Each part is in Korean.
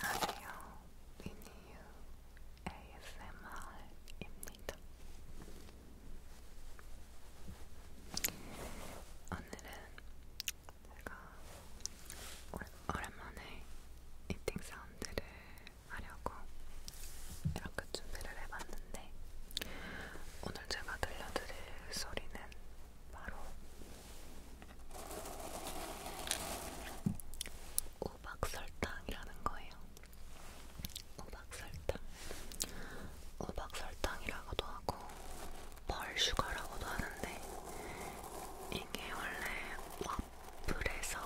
안녕하세요. 미니유 ASMR입니다. 오늘은 제가 오랜만에 이팅 사운드를 하려고 이렇게 준비를 해봤는데 오늘 오늘 제가 들려드릴 소리는 바로 우박설탕이라는 거예요. 우박설탕. 우박설탕이라고도 하고 벌슈가라고도 하는데 이게 원래 와플에서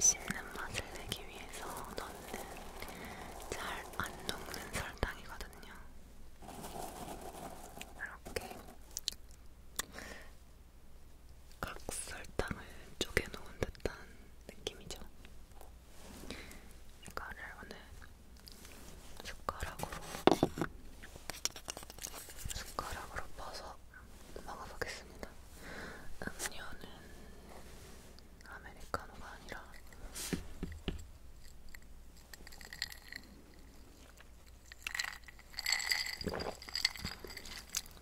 씹는 맛을 내기 위해서 넣는 잘 안 녹는 설탕이거든요. 이렇게 각설탕을 쪼개놓은 듯한 느낌이죠. 이거를 오늘 숟가락으로 숟가락으로 퍼서 먹어보겠습니다. 음료는 아메리카노가 아니라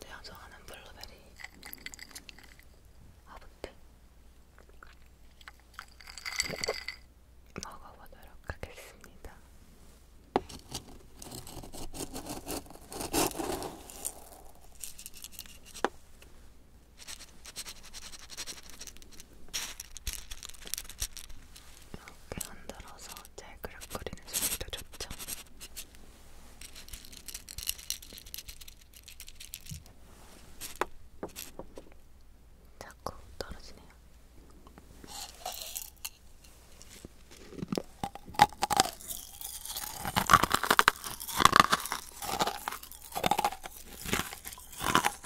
내가 좋아하는 블루베리 아부테 먹어보도록 하겠습니다. 이렇게 흔들어서 짤그락거리는 소리도 좋죠. 자꾸 떨어지네요.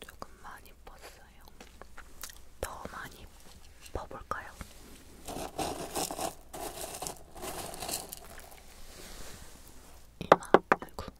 조금 많이 뻗어요. 더 많이 퍼볼까요? 이마, 아이고.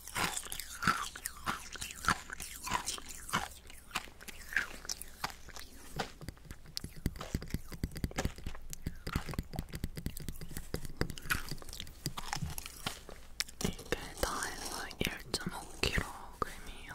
이게 네, 다 해서 1.5kg이에요.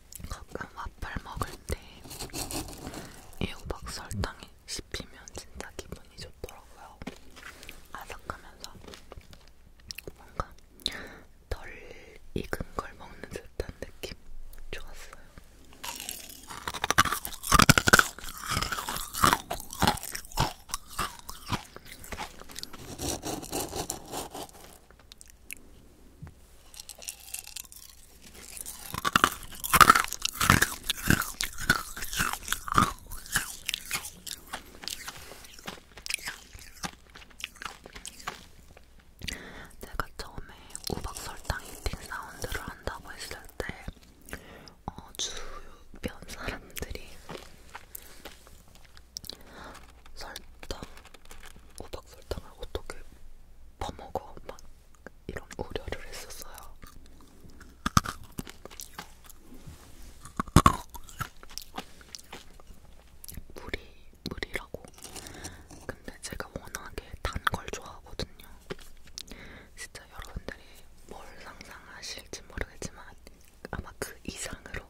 가끔 와플 먹을 때 이호박 설탕이 씹히면 진짜 기분이 좋더라고요. 아삭하면서 뭔가 덜 익은 걸 먹는 듯한 느낌 좋았어요. 제가 처음에 우박설탕 이팅 사운드를 한다고 했을 때 어, 주변 사람들이 설탕, 호박 설탕을 어떻게 퍼먹어? 막 이런 우려를 했었어요. 물이 물이라고. 근데 제가 워낙에 단 걸 좋아하거든요. 진짜 여러분들이 뭘 상상하실지 모르겠지만 아마 그 이상으로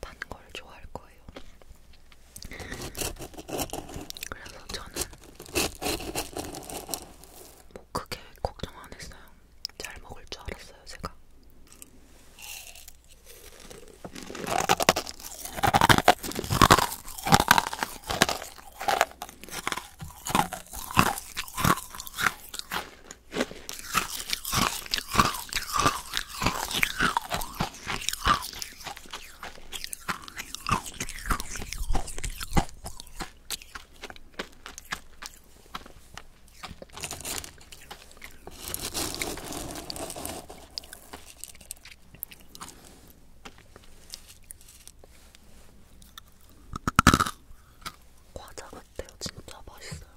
단걸 좋아할 거예요. 그래서 저는 뭐 크게 걱정 안 했어요. 잘 먹을 줄 알았어요, 제가. 과자 같아요. 진짜 맛있어요.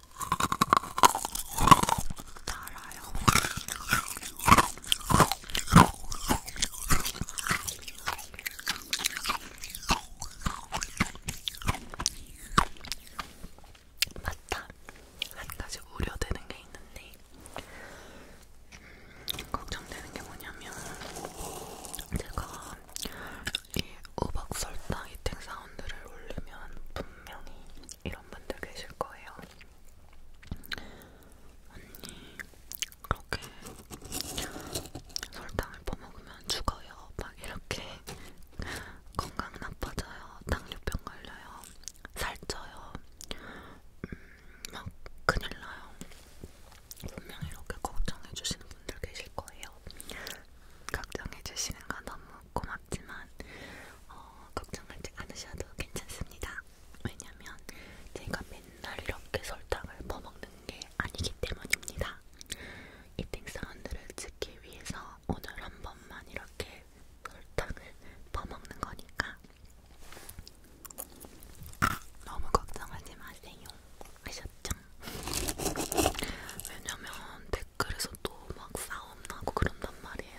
달아요. 맞다. 한 가지 우려되는 게 있는데 음, 걱정되는 게 뭐냐면 제가 이 우박 설탕 이팅 사운드를 올리면 분명히 이런 분들 계실 거예요. 언니, 그렇게 설탕을 퍼먹으면 죽어요. 막 이렇게 건강 나빠져요. 당뇨병 걸려요. 살쪄요. 음, 막 큰일 나요. 분명히 이렇게 걱정해주시는 분들 계실 거예요. 걱정해주시는 건 너무 고맙지만 어, 걱정하지 않으셔도 괜찮습니다. 왜냐면 제가 맨날 이렇게 설탕을 퍼먹는 게 아니기 때문입니다. 이팅 사운드를 찍기 위해서 오늘 한 번만 이렇게 설탕을 퍼먹는 거니까 너무 걱정하지 마세요. 아셨죠? 왜냐면 댓 그래서 또 막 싸움 나고 그런단 말이에요.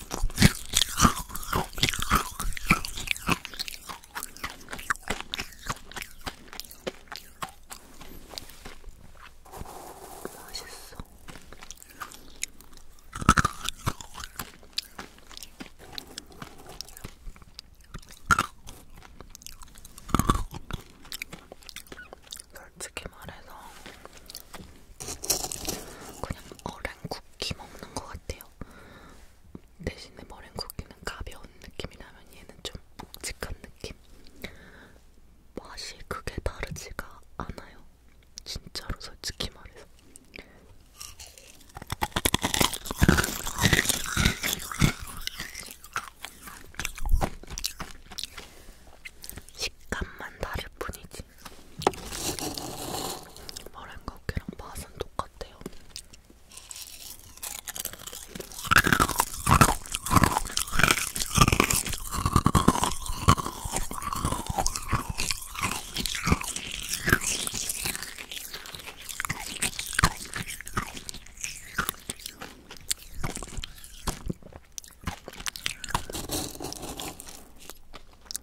맛있어. 솔직히 말해서 그냥 어랭 쿠키 먹는 것 같아요. 대신에 머랭 쿠키는 가벼운 느낌이라면 얘는 좀 묵직한 느낌. 맛이 크게 다르지가 않아요. 진짜로 솔직히 말해서. 식감만 다를 뿐이지 머랭고기랑 맛은 똑같아요.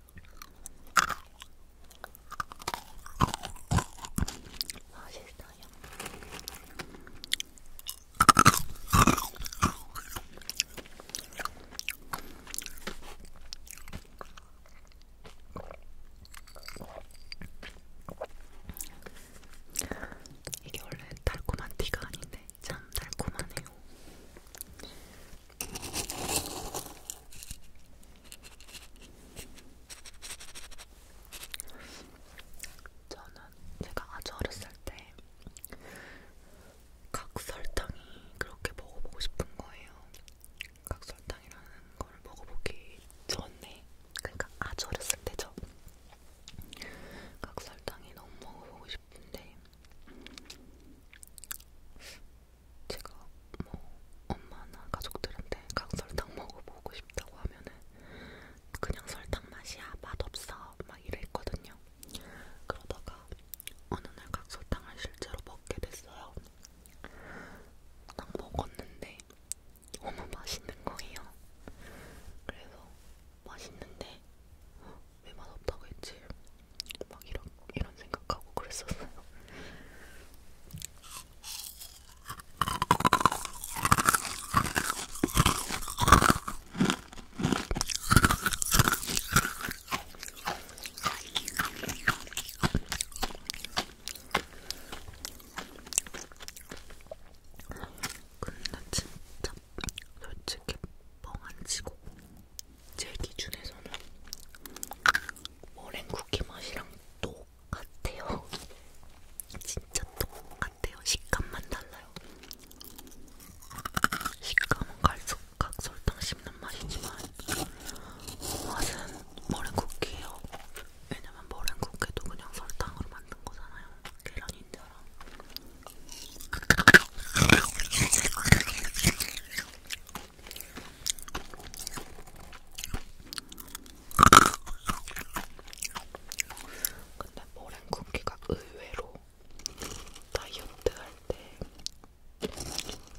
맛있어요. 아, 이게 원래 달콤한 티가 아닌데 참 달콤하네요. 저는 제가 아주 어렸을 때각 설탕이 그렇게 먹어보고 싶은 거예요. 각 설탕이라는 걸 먹어보기 전에, 그러니까 아주 어렸을 때죠. 각 설탕이 너무 먹어보고 싶은데 제가 뭐 엄마나 가족들한테 강설탕 먹어보고 싶다고 하면은 그냥 설탕 맛이야 맛없어 막 이랬거든요. 그러다가 어느 날 각설탕을 실제로 먹게 됐어요. 딱 먹었는데 너무 맛있는 거예요. 그래서 맛있는데 왜 맛없다고 했지? 막 이런 이런 생각하고 그랬었어요. 근데 진짜 솔직히 뻥안 치고 제 기준에서는 머랭 쿠키 맛이랑 똑같아요. 진짜 똑같아요. 식감만 달라요. 식감은 갈수각 설탕 씹는 맛이지만 맛은 머랭 쿠키예요. 왜냐면 머랭 쿠키도 그냥 설탕으로 만든 거잖아요. 계란인처럼. 근데 머랭 쿠키가 의외로 다이어트 할때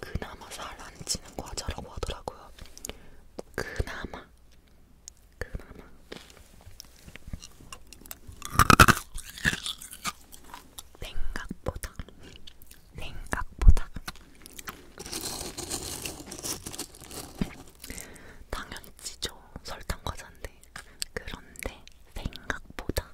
그나마 살 안 찌는 과자라고 하더라고요. 그나마, 그나마. 생각보다 생각보다 당연히 찌죠 설탕 과자인데 그런데 생각보다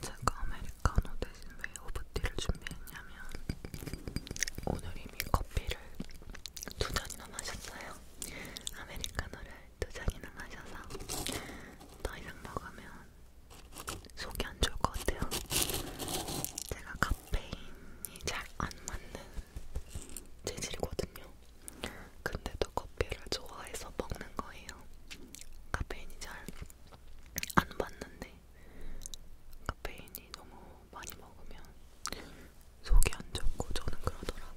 제가 아메리카노 대신 왜 오브티를 준비했냐면 오늘 이미 커피를 두 잔이나 마셨어요. 아메리카노를 두 잔이나 마셔서 더 이상 먹으면 속이 안 좋을 것 같아요. 제가 카페인이 잘 안 맞는 재질이거든요. 근데도 커피를 좋아해서 먹는 거예요. 카페인이 잘 안 받는데 카페인이 너무 많이 먹으면 속이 안 좋고 저는 그러더라고요.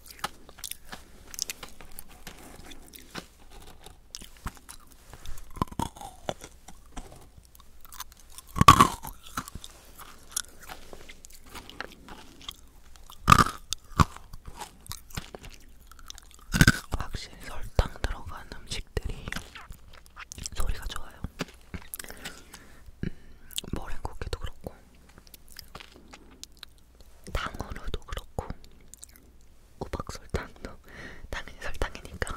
확실히 설탕 들어간 음식들이 소리가 좋아요. 음, 머랭쿠키도 그렇고 당으로도 그렇고 우박설탕도 당연히 설탕이니까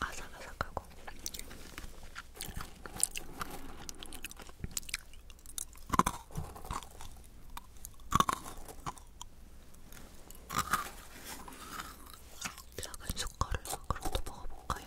아삭아삭하고 작은 숟가락으로도 먹어볼까요?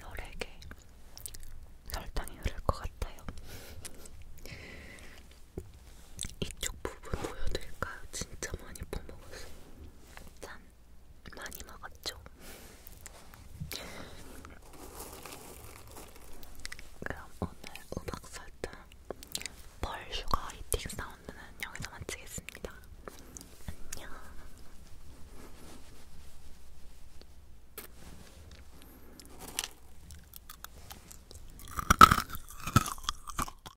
열에게 설탕이 흐를 것 같아요. 이쪽 부분 보여드릴까요? 진짜 많이 퍼먹었어요. 짠! 많이 먹었죠? 그럼 오늘 음악 설정 벌슈가 이팅 사운드는 여기서 마치겠습니다. 안녕!